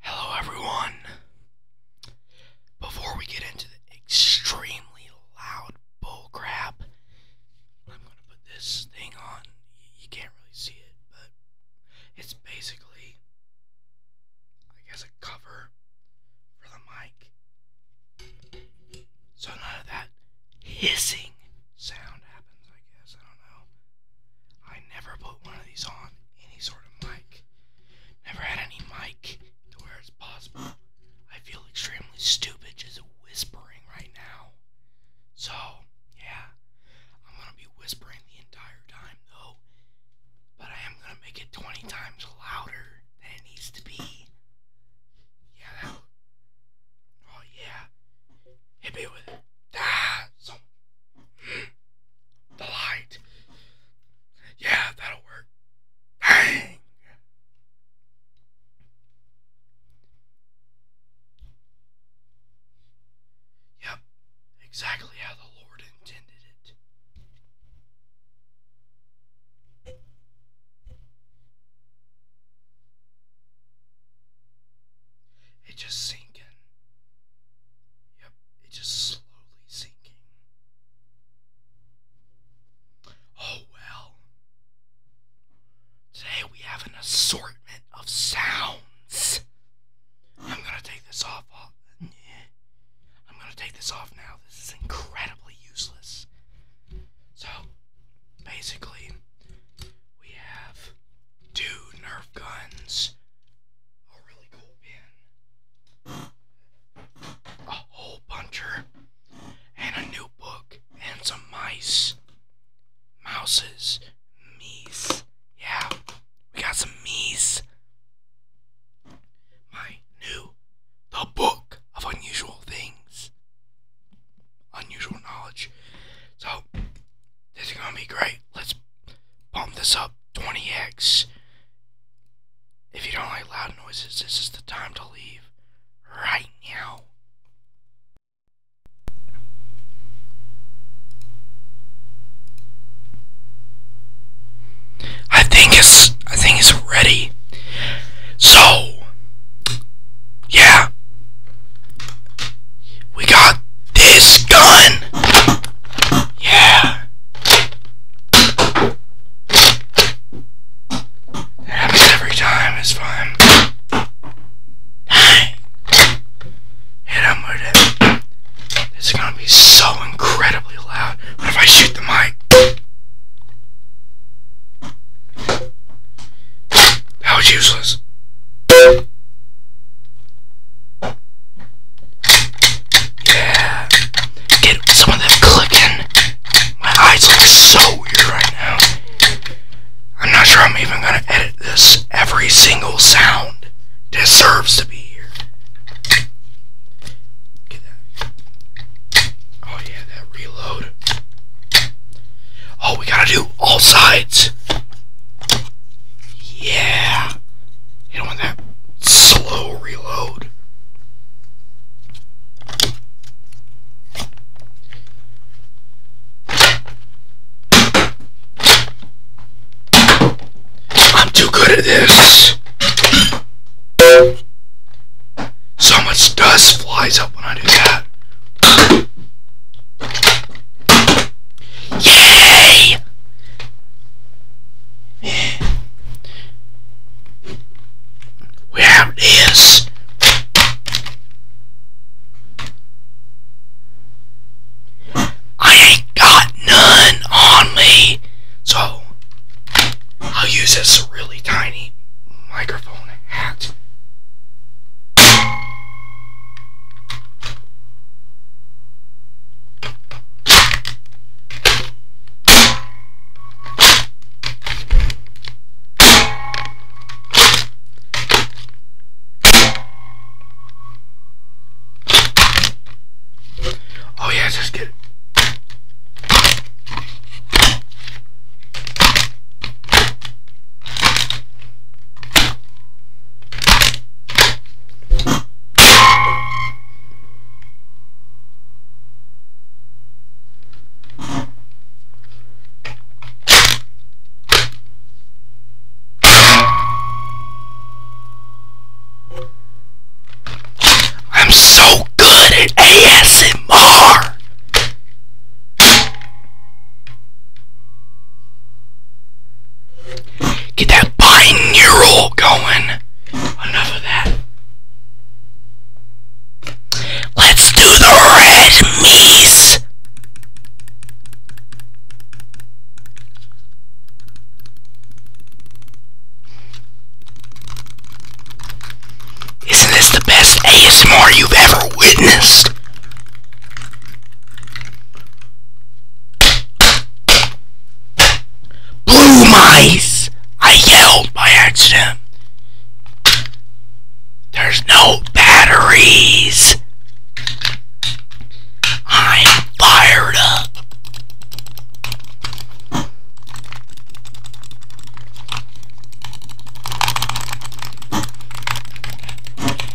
Hello, everyone. Before we get into the extremely loud bullcrap, I'm gonna put this thing on. You can't really see it, but it's basically, I guess, a cover for the mic. So none of that hissing sound happens, I guess. I don't know. I never put one of these on any sort of mic. Never had any mic to where it's possible. I feel extremely stupid just whispering right now. So, yeah. I'm gonna be whispering the entire time though. But I am gonna make it 20 times louder than it needs to be. Yeah, oh yeah, hit me with it. the light. Yeah, that'll work. Dang. Yep, exactly how the Lord intended it. It's just sinking. Yep, it's just slowly sinking. Oh well. Today we have an assortment of sounds. I'm gonna take this off. I'm gonna take this off now. This is incredibly useless. So, basically, we have two Nerf guns, a really cool pin, a hole puncher, and a new book, and some mice. Mouses. Meese. Yeah, we got some meese. My new The Book of Unusual Things unusual knowledge. So, this is going to be great. Let's bump this up 20x. If you don't like loud noises, this is the time to leave right now. I think it's I think it's ready. So yeah. We got this gun. Yeah. It happens every time. It's fine. Hit him with it. It's gonna be so incredibly loud. What if I shoot the mic? That was useless. Yeah. Get some of them clicking. My eyes look so weird right now. I'm not sure I'm even gonna edit this. Every single sound deserves to be here. Oh yeah, that reload. Oh, we gotta do all sides. Yeah. You don't want that slow reload. I'm too good at this. So much dust flies up when I do that. Yay! Where it is. I ain't got none on me. So I'll use this really tiny microphone. Oh yeah, just get it. I'm so good at ASMR. Get that binaural going. Enough of that. Let's do the red meese. Isn't this the best ASMR you've ever witnessed? Blue mice! I yelled by accident. There's no batteries. I'm fired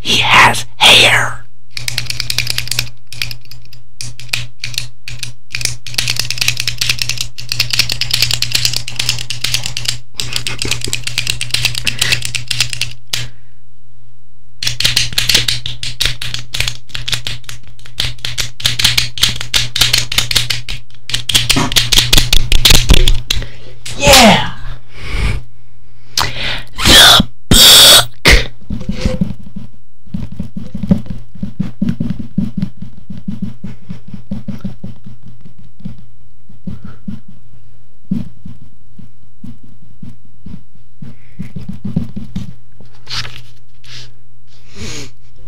He has hair. Yeah! The book!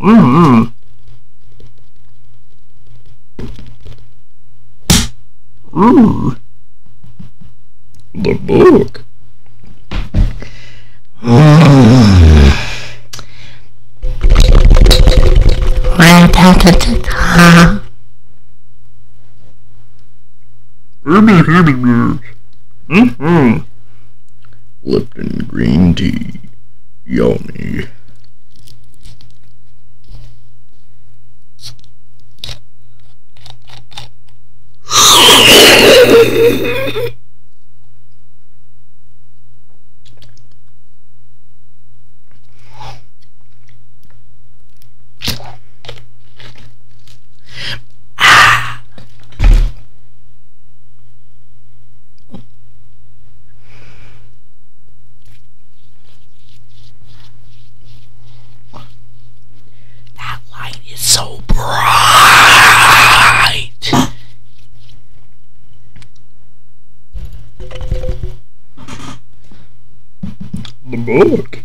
Mm-hmm. Ooh. Mm-hmm. The book. Herbie Herbie Nerves. Mm-hmm. Lipton green tea. Yummy. Ah! That light is so bright. The book.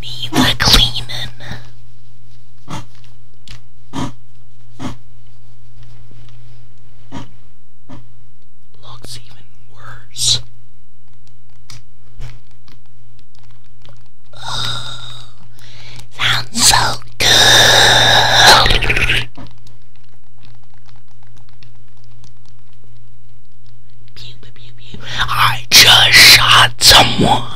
Me like Lehman. Looks even worse. sounds so good. I just shot someone.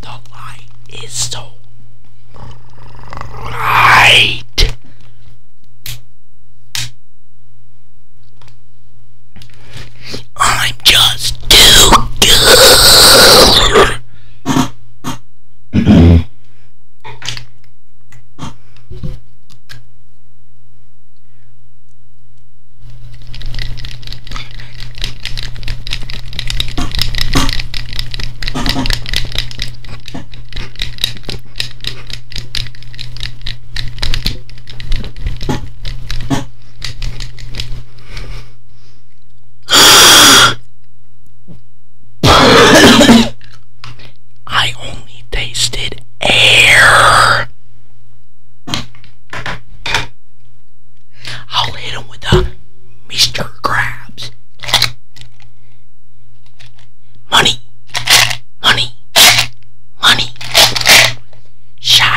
The light is so bright. I'm just too good. I only tasted air. I'll hit him with a Mr. Krabs. Money, money, money. Sha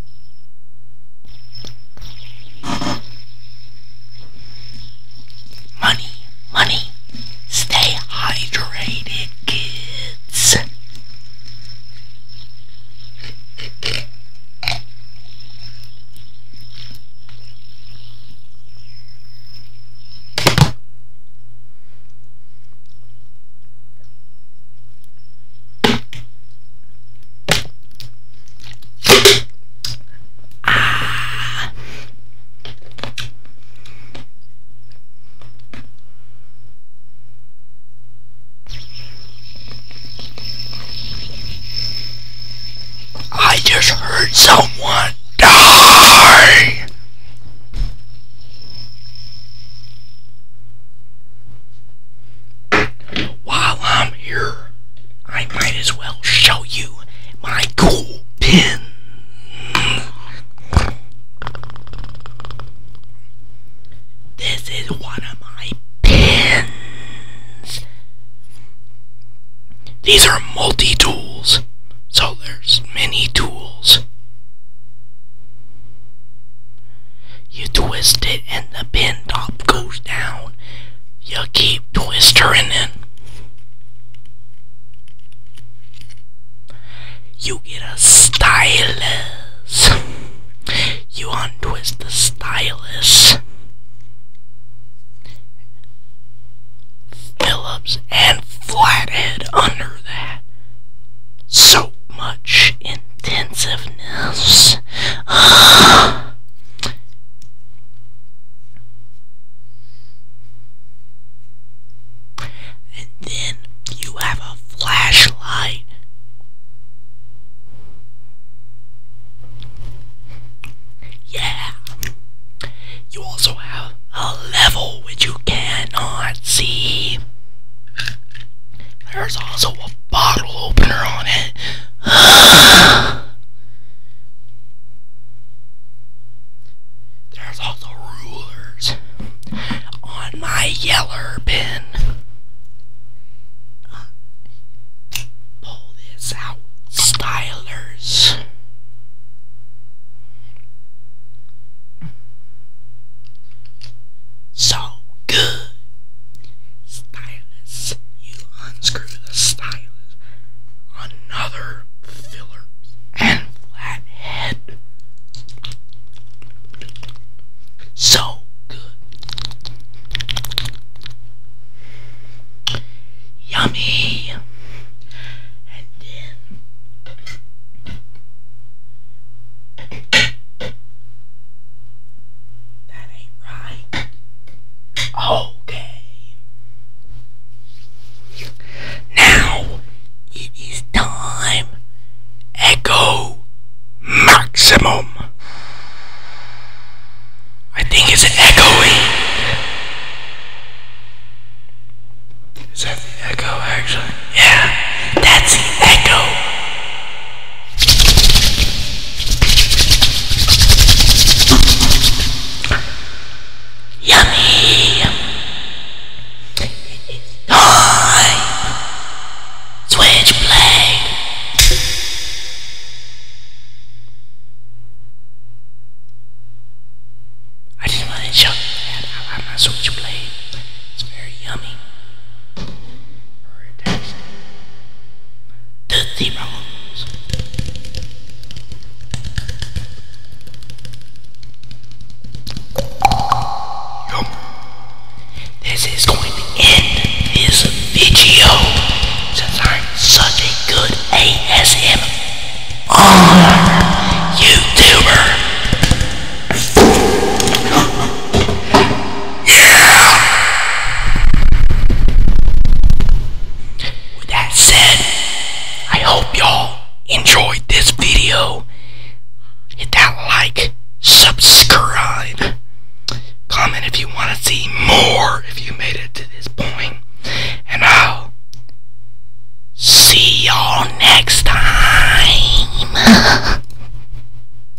Money, money. Stay hydrated, kids. Ah. I just heard someone die. While I'm here, I might as well show you my cool pin. This is one of my pins. These are multi tools, so there's many tools. You twist it and the pin top goes down. You keep twisting it. You get a stylus. You untwist the stylus. Phillips and flathead under that. So much intensiveness. and then you have a flashlight. Yeah. You also have a level which you cannot see. There's also bottle opener on it. There's also rulers on my yeller bin. Uh, pull this out, stylers. So good. Stylus. You unscrew the stylus. Another Phillips and Flathead. So good. Yummy. And then that ain't right. Okay. Now it is time. Echo maximum. I think it's echoing. Is that the echo actually? Yeah, that's echo. Yummy! It is time! Switchblade! I just want to show you that I like my switchblade. It's very yummy or a text to This is going to end this video since I'm such a good ASM YouTuber. With that said, I hope y'all enjoyed this video. Hit that like, subscribe, comment if you want to see more if you made it to this point, and I'll see y'all next time.